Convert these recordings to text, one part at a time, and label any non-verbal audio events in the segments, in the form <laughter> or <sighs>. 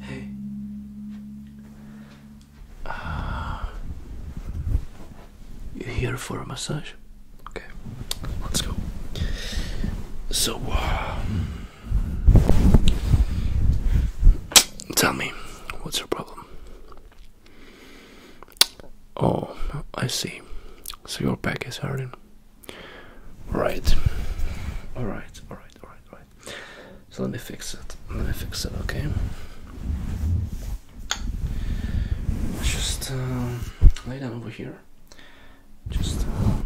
Hey. Uh, you here for a massage? Okay, let's go. So, um, tell me, what's your problem? Oh, I see. So your back is hurting. Right. Alright, alright, alright, alright. So let me fix it. Let me fix it, okay? just uh, lay down over here. Just. Uh,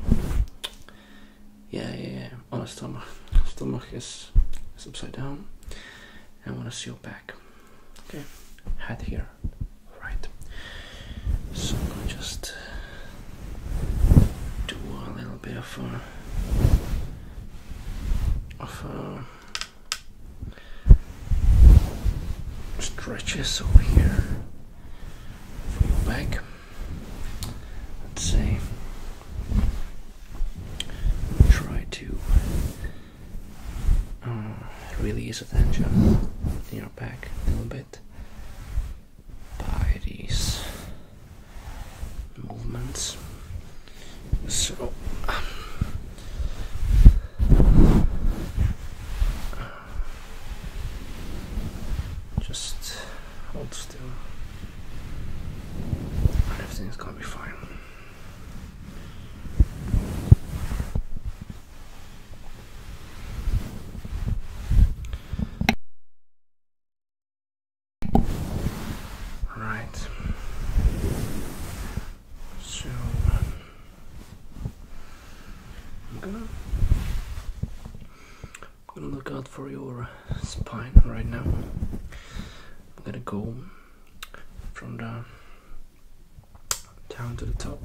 yeah, yeah, On the stomach. Stomach is, upside down. I want to see your back. Okay. Head here. Right. So just do a little bit of a, uh, of a uh, stretches over here for your back. Let's see. Try to uh, release the tension in your back a little bit by these movements. So um, just hold still. Everything's gonna be fine. Right. So I'm gonna I'm gonna look out for your spine right now. I'm gonna go from the down to the top.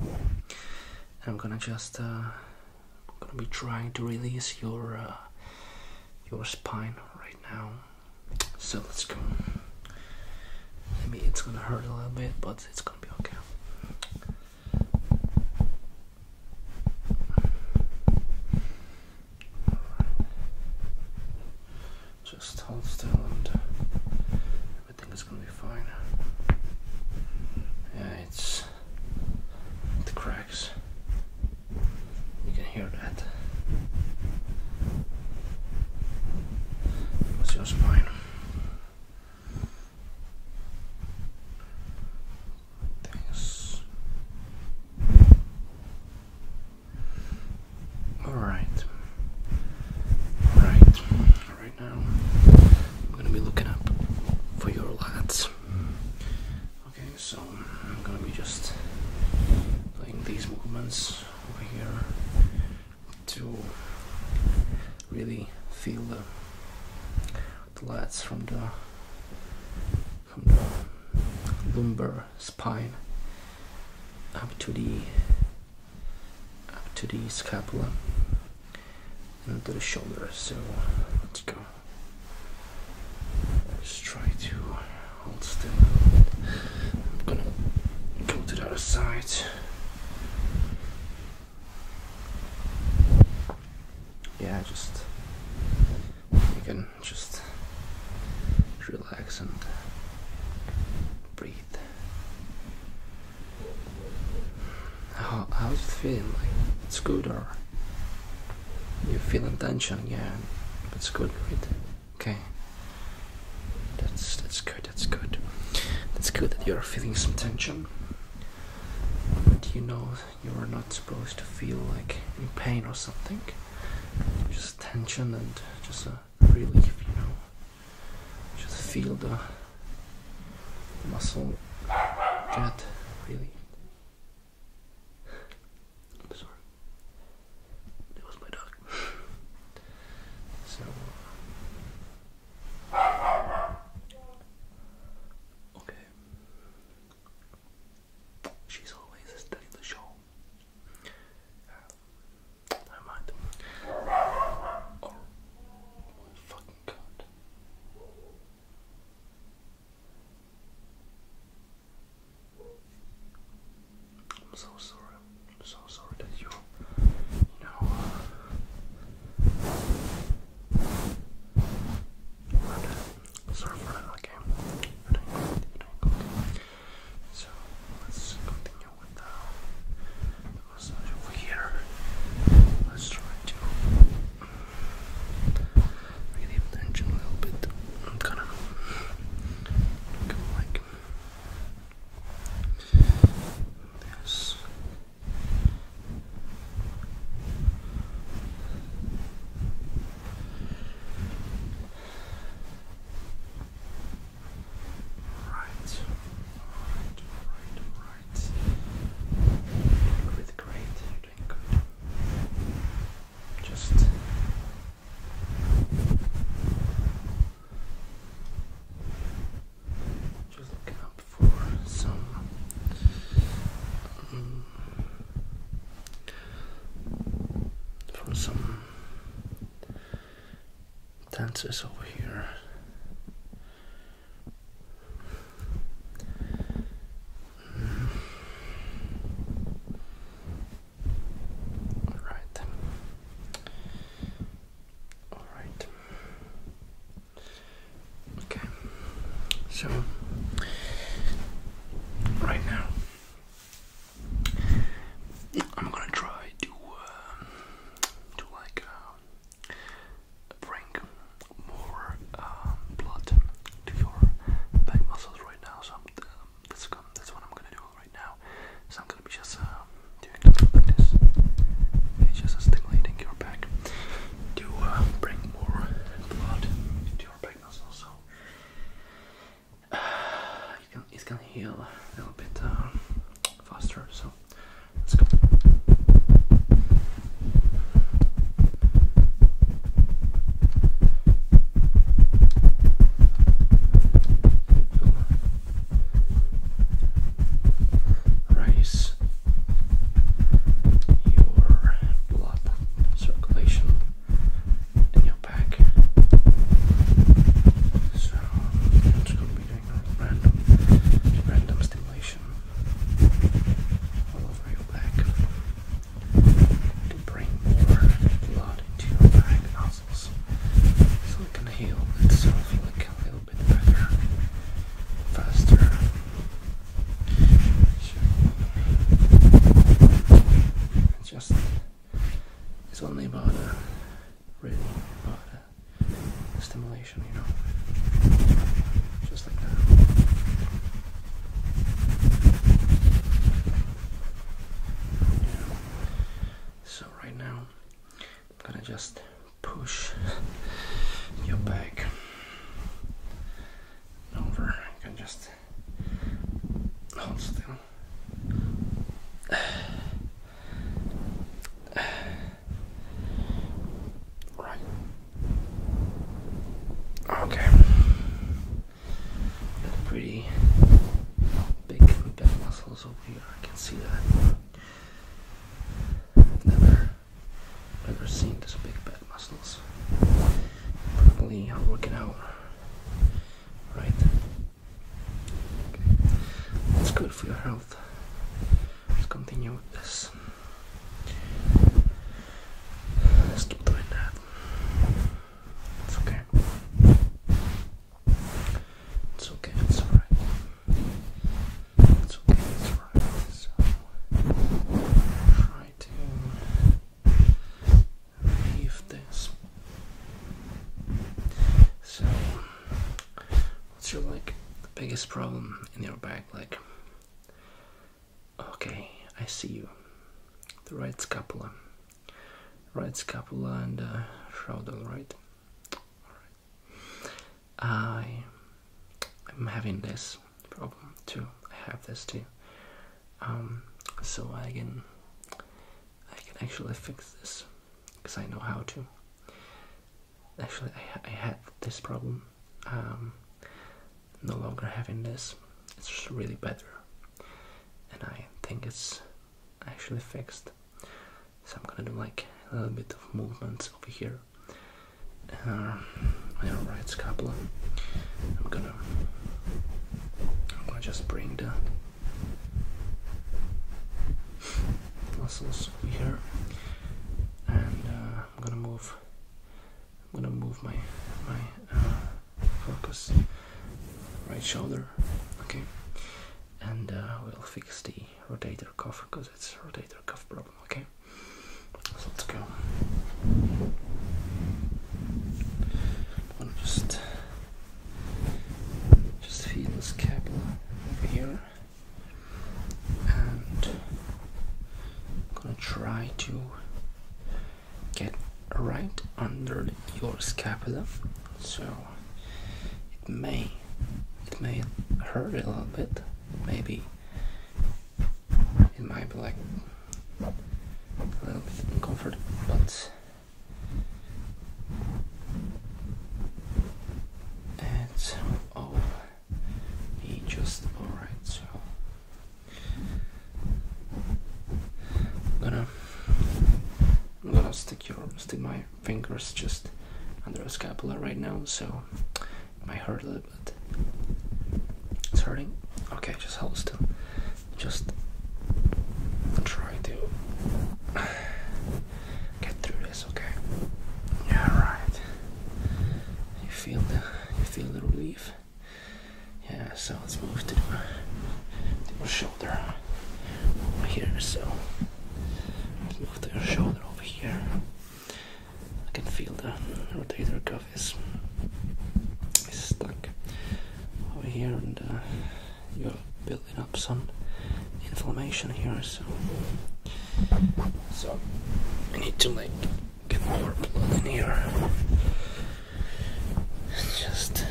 I'm gonna just uh, I'm gonna be trying to release your uh, your spine right now. So let's go. I mean, it's gonna hurt a little bit, but it's gonna be okay. Just hold still and everything is gonna be fine. Yeah, it's the cracks. You can hear that. What's your spine? Thanks. All right. All right. Right now, I'm gonna be looking up for your lats. Okay, so I'm going to be just playing these movements over here to really feel the, the lats from the from the lumbar spine up to the up to the scapula and to the shoulder. So let's go. Just try to hold still. I'm gonna go to the other side. Yeah, just you can just relax and breathe. How I was feeling? Like it's good or? you feel feeling tension, yeah. That's good, right? Okay. That's that's good, that's good. That's good that you're feeling some tension. But you know you're not supposed to feel like in pain or something. Just tension and just a relief, you know. Just feel the muscle get really <sighs> I'm sorry. It was my dog. <laughs> so. Uh, okay. She's always steady the show. Uh, never mind. Oh my fucking god. I'm so sorry. I'm so sorry that you, know, uh, sorry for that. Okay, So let's continue with the massage over here. Let's try to Bring the attention a little bit. I'm kind of like this. Right, right, right, right. Really great. Just just looking up for some um, for some dancers over here all right. All right. Okay. So right now I'm gonna try to uh, to like uh, bring more um, blood to your back muscles right now. So um, that's, going that's what I'm gonna do right now. So I'm gonna be just um, doing this. It's just stimulating your back to uh, bring more blood to your back muscles. So uh, <sighs> can, it's gonna heal a little bit um, faster. So let's go raise your blood circulation in your back. So I'm just going to be doing random, random stimulation all over your back to bring more blood into your back muscles so it can heal itself like a little bit better, faster. just, it's only about a, really about a stimulation, you know just like that. Yeah. So right now I'm gonna just push your back over. You can just hold still. <sighs> Right. Okay. pretty big back muscles over here. I can see that. I've never, never seen this big back muscles. Probably I'm working out. Right. Okay. It's good for your health. Let's continue with this. Let's keep doing that. It's okay. It's okay, it's alright. It's okay, it's alright. So, try to leave this. So, what's your like biggest problem in your back? Like, Okay, I see you. The right scapula. Right scapula and the uh, shoulder, right? I, I'm having this problem too. I have this too. Um, so I can, I can actually fix this, because I know how to. Actually, I, had this problem. Um, no longer having this. It's really better, and I think it's actually fixed. So I'm gonna do like a little bit of movements over here uh, on right scapula. I'm gonna, I'm gonna just bring the muscles over here, and uh, I'm gonna move I'm gonna move my my uh, focus right shoulder, okay, and uh, we'll fix the rotator cuff because it's rotator cuff problem, okay. So let's go. I'm just just feel the scapula over here, and I'm gonna try to get right under your scapula so it may it may hurt a little bit maybe it might be like a little bit uncomfortable but it's all be just alright I'm gonna, I'm gonna stick your stick my fingers just under the scapula right now, so it might hurt a little bit. It's hurting. Okay, just hold still. Just try to get through this. Okay. Yeah, right. You feel the you feel the relief. Yeah, so let's move to the shoulder over here. So move to your shoulder over here. I can feel the rotator cuff is, stuck over here, and uh, you're building up some inflammation here. So, so I need to make get more blood in here. just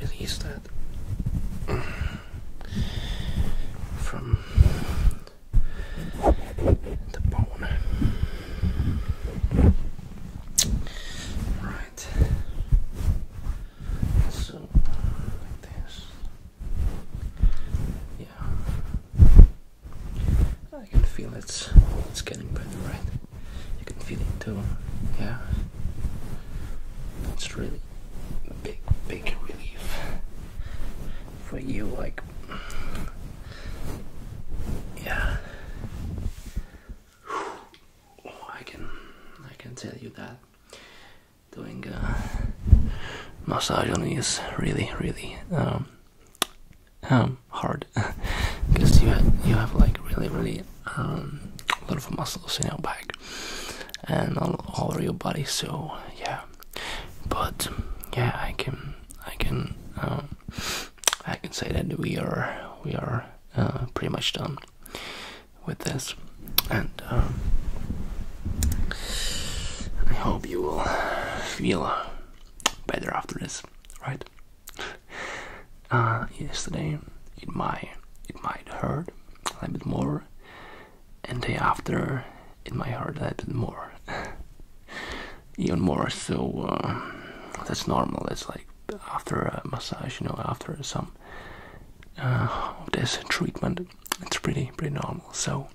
release that from the bone. Right. So Yeah. Oh, I can feel it's it's getting better, right? You can feel it too, yeah. It's really big, big relief for you, like, yeah. Oh, I can, I can tell you that doing a massage on you is really, really um, um, hard because <laughs> you have, you have like really really um, a lot of muscles in your back and all, over your body. So yeah, but yeah, I can I can um, I can say that we are we are uh, pretty much done with this, and um, I hope you will feel better after this, right? Uh, yesterday it might it might hurt a little bit more, and day after it might hurt a little bit more, <laughs> even more. So uh, that's normal. It's like after a massage, you know, after some uh, of this treatment, it's pretty pretty normal. So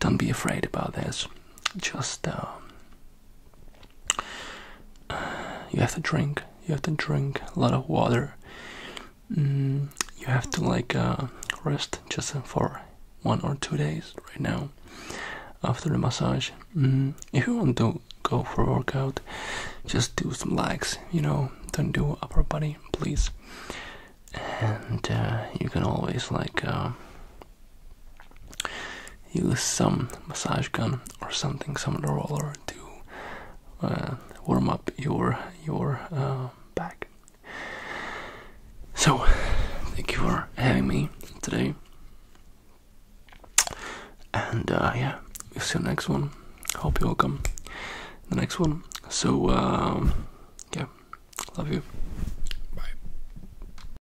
don't be afraid about this. Just uh, you have to drink. You have to drink a lot of water. Mm, you have to like uh, rest just for one or two days right now after the massage. Mm, if you want to go for workout, just do some legs. You know, don't do upper body, please. And uh, you can always like. Use some massage gun or something, some roller to uh, warm up your your uh, back. So, thank you for having me today, and uh, yeah, we'll see you next one. Hope you all come the next one. So, um, yeah, love you. Bye.